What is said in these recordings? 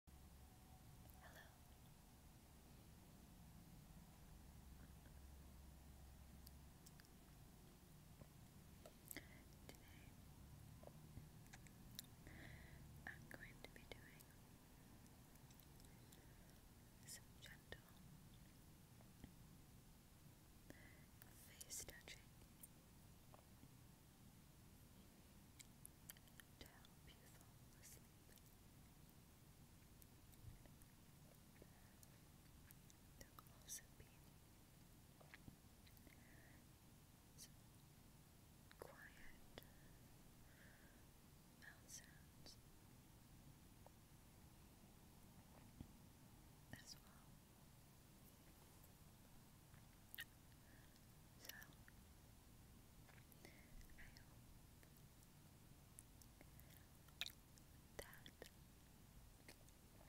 Hello. Today I'm going to be doing some gentle face touching to you There'll also be some quiet sounds as well. So, that this video can help you to relax or E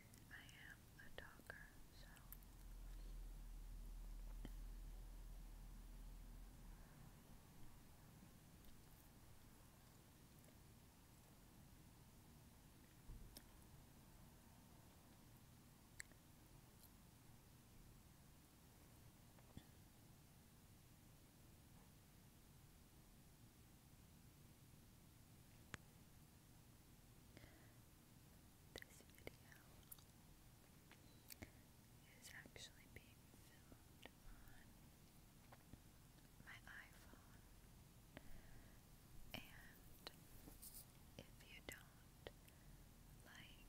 But I am a talker, so I is actually being filmed on my iPhone. And if you don't like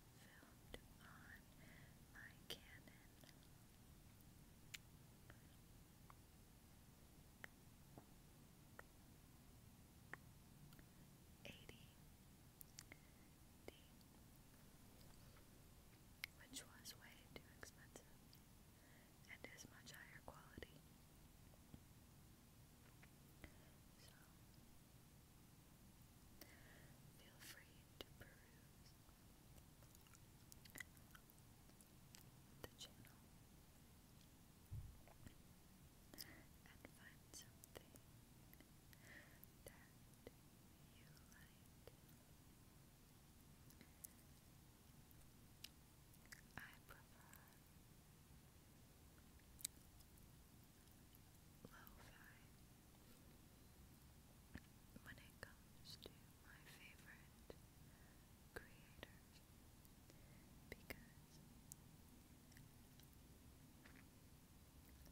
filmed on my Canon. Eighty D, which was way too expensive and is much higher quality. Feel free to peruse the channel and find something that you like. I prefer lo-fi. When it comes to my favorite creators, because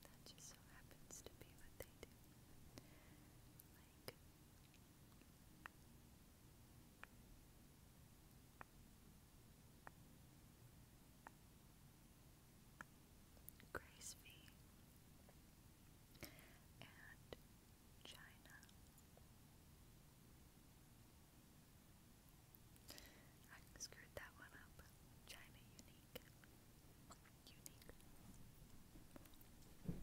that just so happens to be what they do. Grace V, and China. I screwed that one up. China Unique. Unique.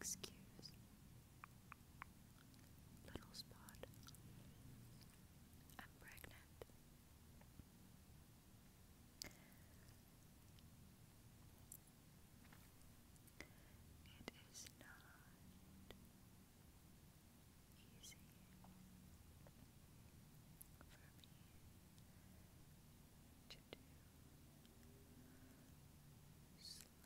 Excuse Little spot. I'm pregnant. It is not easy for me to do slow,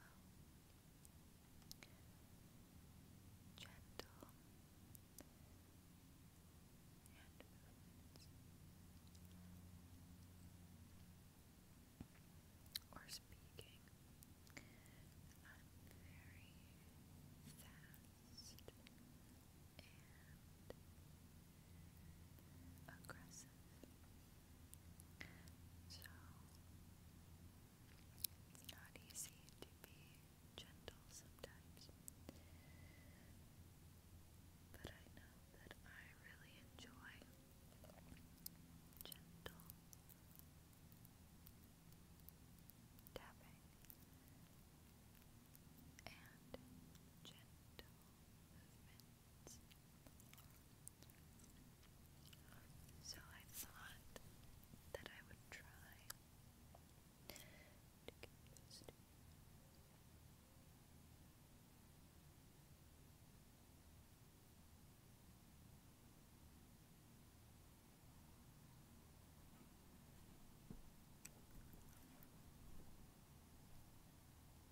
gentle hand movements or speaking. i very fast and aggressive. So, it's not easy to be gentle sometimes. But I know that I really enjoy gentle tapping and gentle movement. So I thought that I would try to get this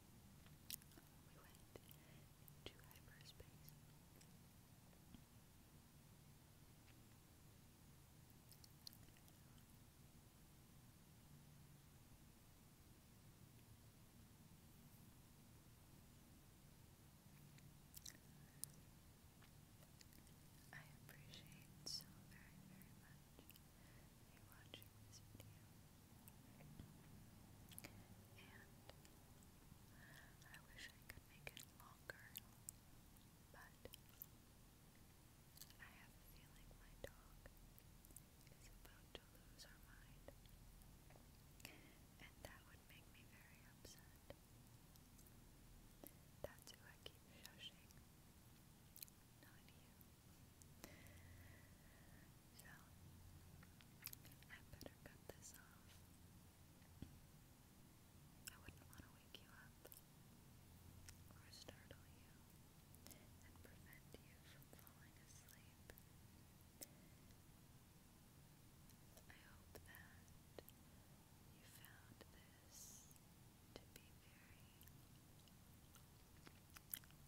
We I appreciate so very, very much you watching this video. And I wish I could make it longer, but I have a feeling my dog is about to lose her mind. And that would make me very upset. That's who I keep shushing. Not you. So, I better cut this off. I wouldn't want to wake you up or startle you and prevent you from falling asleep. I hope that you found this to be very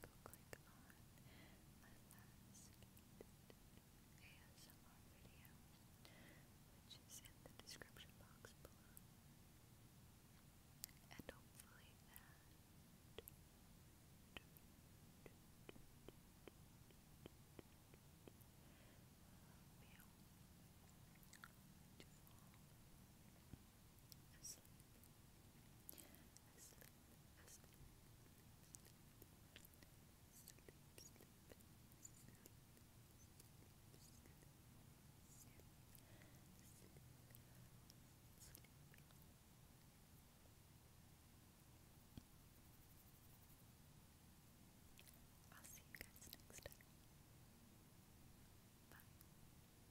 Go click on my last ASMR video, which is in the description box below. And hopefully that will help you to fall asleep, asleep, asleep, sleep, sleep, sleep, I'll see you guys next time. Bye.